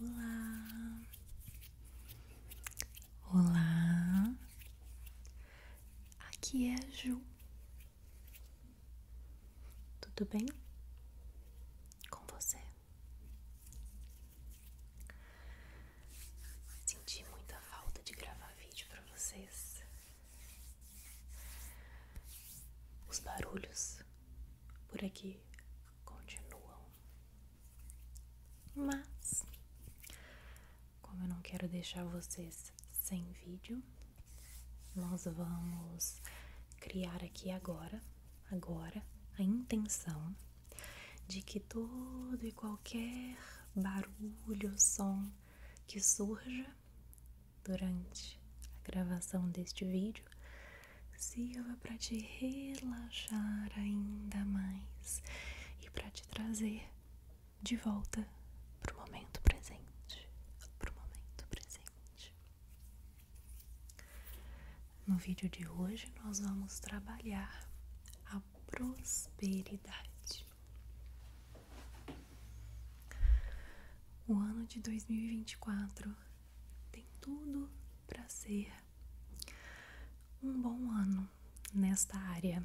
Olá, olá, aqui é a Ju. Tudo bem com você? Senti muita falta de gravar vídeo para vocês. Os barulhos por aqui continuam. Mas, como eu não quero deixar vocês sem vídeo, nós vamos criar aqui agora, agora, a intenção de que todo e qualquer barulho, som que surja durante a gravação deste vídeo sirva para te relaxar ainda mais e para te trazer de volta para o momento presente, para o momento presente. No vídeo de hoje nós vamos trabalhar a prosperidade. O ano de 2024 tem tudo para ser um bom ano nesta área.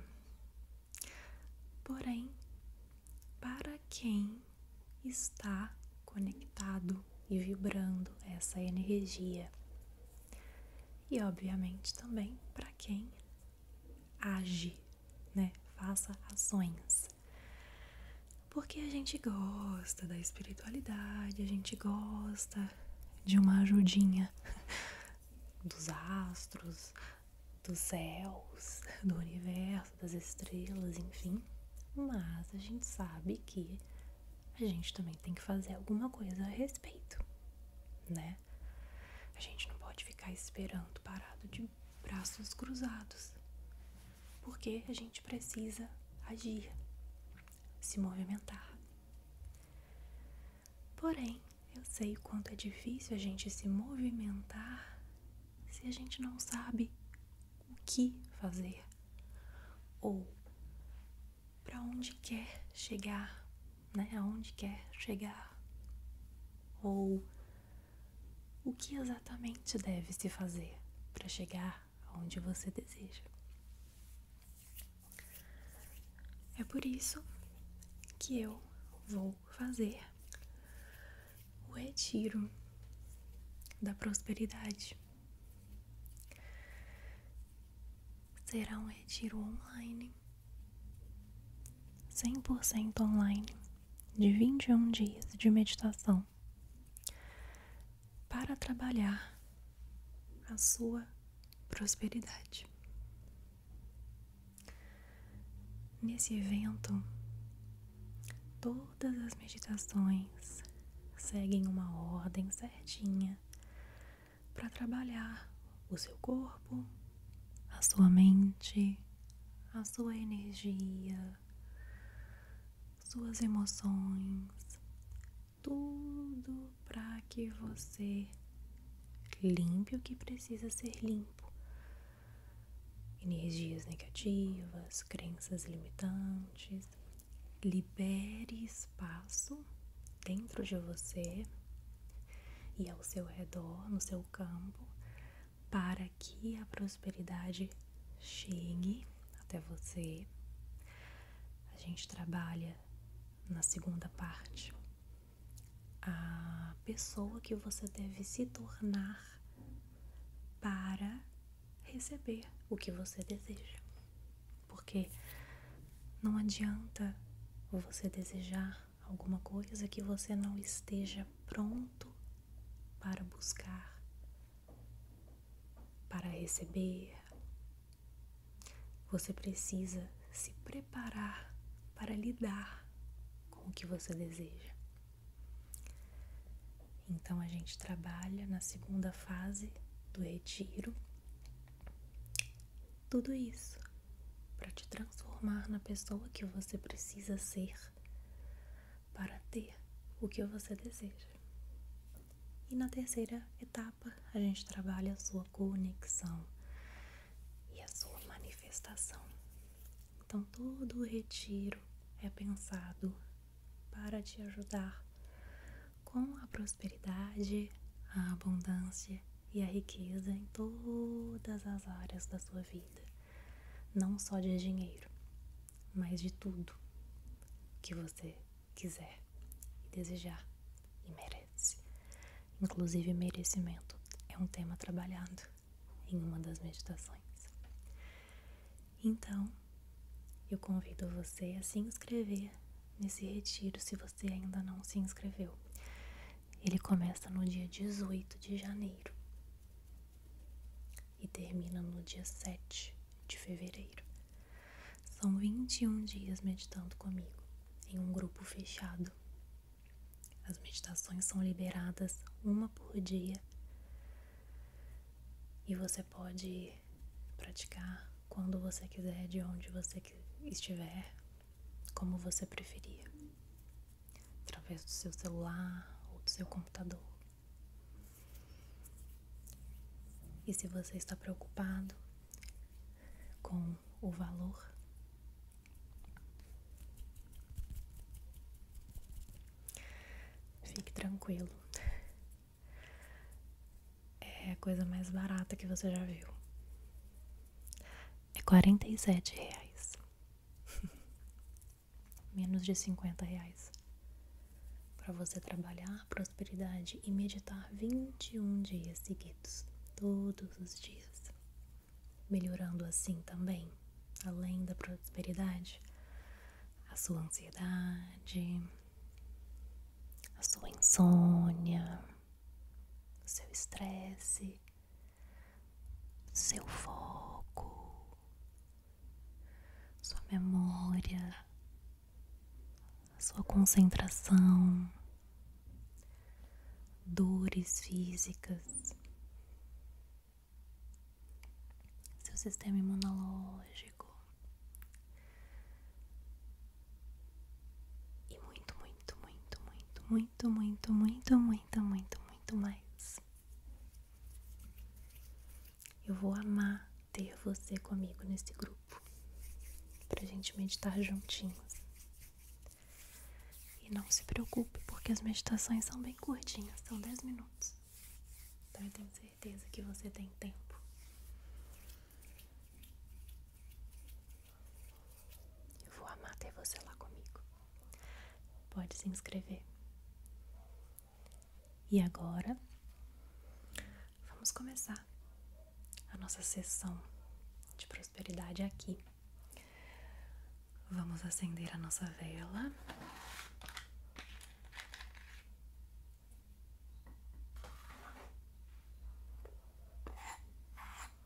Porém, para quem está conectado e vibrando essa energia, e obviamente também para quem age, né? Faça ações. Porque a gente gosta da espiritualidade, a gente gosta de uma ajudinha dos astros, dos céus, do universo, das estrelas, enfim. Mas a gente sabe que a gente também tem que fazer alguma coisa a respeito, né? A gente não pode ficar esperando parado de braços cruzados porque a gente precisa agir, se movimentar. Porém, eu sei o quanto é difícil a gente se movimentar se a gente não sabe o que fazer ou para onde quer chegar, né? Aonde quer chegar ou o que exatamente deve se fazer para chegar onde você deseja. É por isso que eu vou fazer o retiro da prosperidade. Será um retiro online, 100% online, de 21 dias de meditação para trabalhar a sua prosperidade. Nesse evento, todas as meditações seguem uma ordem certinha para trabalhar o seu corpo, a sua mente, a sua energia, suas emoções, tudo para que você limpe o que precisa ser limpo. Energias negativas, crenças limitantes. Libere espaço dentro de você e ao seu redor, no seu campo, para que a prosperidade chegue até você. A gente trabalha na segunda parte a pessoa que você deve se tornar para receber o que você deseja. Porque não adianta você desejar alguma coisa que você não esteja pronto para buscar, para receber. Você precisa se preparar para lidar com o que você deseja. Então a gente trabalha na segunda fase do retiro tudo isso para te transformar na pessoa que você precisa ser para ter o que você deseja. E na terceira etapa, a gente trabalha a sua conexão e a sua manifestação. Então, todo o retiro é pensado para te ajudar com a prosperidade, a abundância e a riqueza em todas as áreas da sua vida não só de dinheiro, mas de tudo que você quiser desejar e merece. Inclusive, merecimento é um tema trabalhado em uma das meditações. Então, eu convido você a se inscrever nesse retiro se você ainda não se inscreveu. Ele começa no dia 18 de janeiro e termina no dia 7 de fevereiro. São 21 dias meditando comigo em um grupo fechado. As meditações são liberadas uma por dia e você pode praticar quando você quiser, de onde você estiver, como você preferir através do seu celular ou do seu computador. E se você está preocupado com o valor, fique tranquilo. É a coisa mais barata que você já viu. É 47 reais. menos de 50 reais. Para você trabalhar prosperidade e meditar 21 dias seguidos, todos os dias. Melhorando assim também, além da prosperidade, a sua ansiedade, a sua insônia, o seu estresse seu foco, sua memória, sua concentração, dores físicas, seu sistema imunológico. e muito, muito, muito, muito, muito, muito, muito, muito, muito mais. Eu vou amar ter você comigo nesse grupo, pra gente meditar juntinhos. E não se preocupe, porque as meditações são bem curtinhas, são 10 minutos. Então eu tenho certeza que você tem tempo. Eu vou amar ter você lá comigo. Pode se inscrever. E agora, vamos começar a nossa sessão de prosperidade aqui. Vamos acender a nossa vela.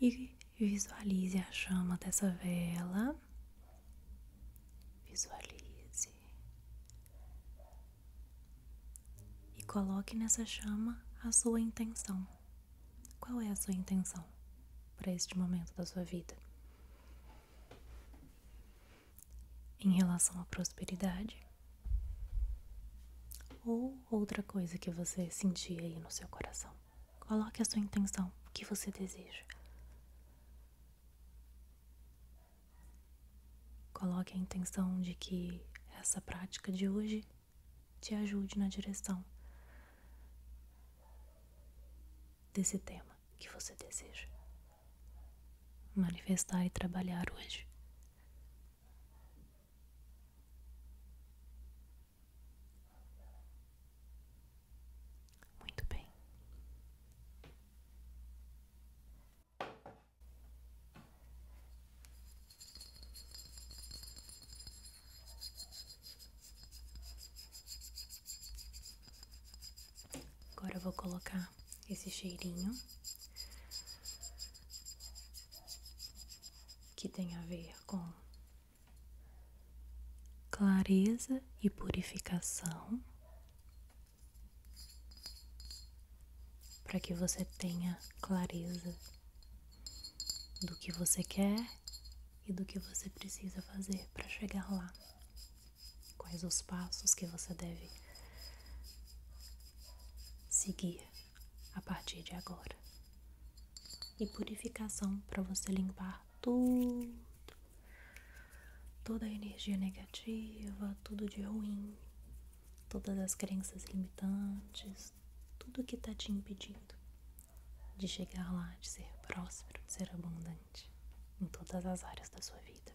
E visualize a chama dessa vela Visualize e coloque nessa chama a sua intenção. Qual é a sua intenção para este momento da sua vida? Em relação à prosperidade ou outra coisa que você sentia aí no seu coração? Coloque a sua intenção, o que você deseja. Coloque a intenção de que essa prática de hoje te ajude na direção desse tema que você deseja manifestar e trabalhar hoje. Muito bem. Agora vou colocar esse cheirinho que tem a ver com clareza e purificação, para que você tenha clareza do que você quer e do que você precisa fazer para chegar lá. Quais os passos que você deve seguir a partir de agora. E purificação para você limpar tudo, toda a energia negativa, tudo de ruim, todas as crenças limitantes, tudo que está te impedindo de chegar lá, de ser próspero, de ser abundante em todas as áreas da sua vida.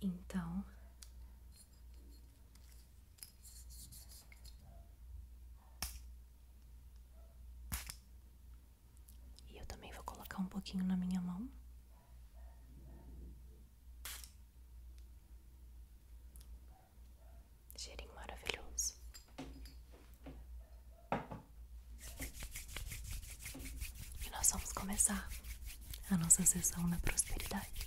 Então, e eu também vou colocar um pouquinho na minha mão. Cheirinho maravilhoso. E nós vamos começar a nossa sessão na prosperidade.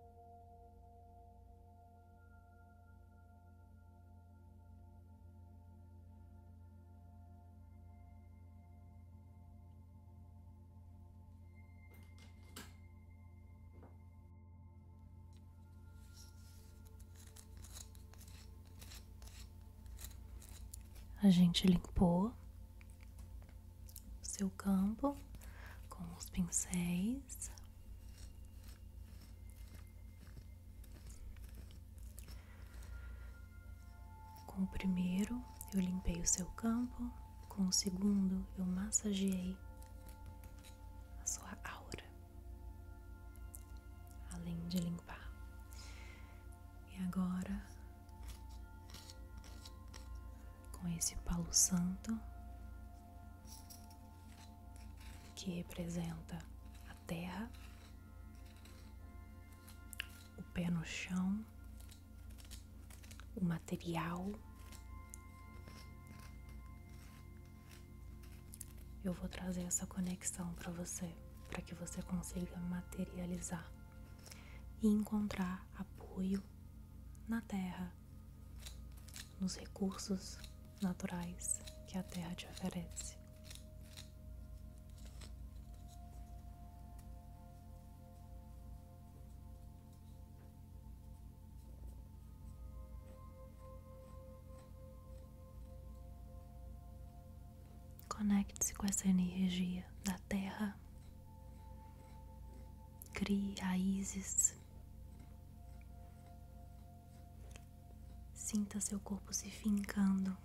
A gente limpou seu campo com os pincéis. Com o primeiro, eu limpei o seu campo, com o segundo, eu massageei a sua aura, além de limpar. E agora com esse palo santo que representa a terra, o pé no chão, o material. Eu vou trazer essa conexão para você, para que você consiga materializar e encontrar apoio na terra, nos recursos naturais que a terra te oferece. Conecte-se com essa energia da terra Crie raízes. Sinta seu corpo se fincando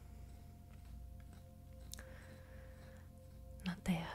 na terra.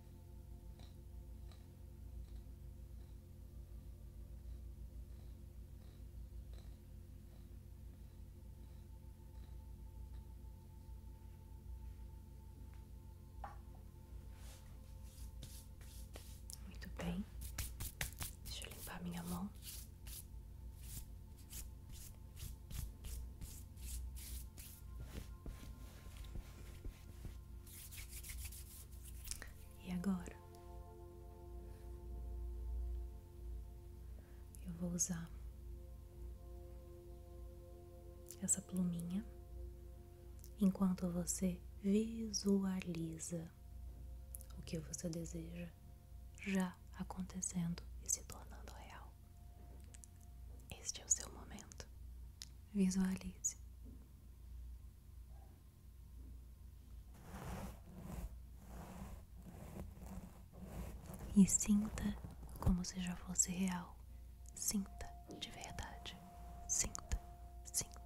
Muito bem, deixa eu limpar minha mão. E agora eu vou usar essa pluminha enquanto você visualiza o que você deseja já acontecendo e se tornando real. Este é o seu momento. Visualize. E sinta como se já fosse real. Sinta de verdade. Sinta, sinta.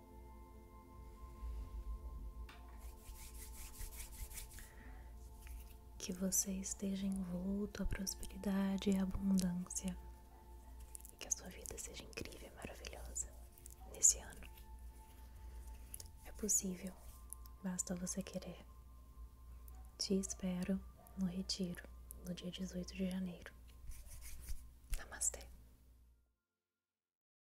Que você esteja envolto à prosperidade e à abundância. E que a sua vida seja incrível e maravilhosa nesse ano. É possível, basta você querer. Te espero no Retiro, no dia 18 de janeiro. Namastê.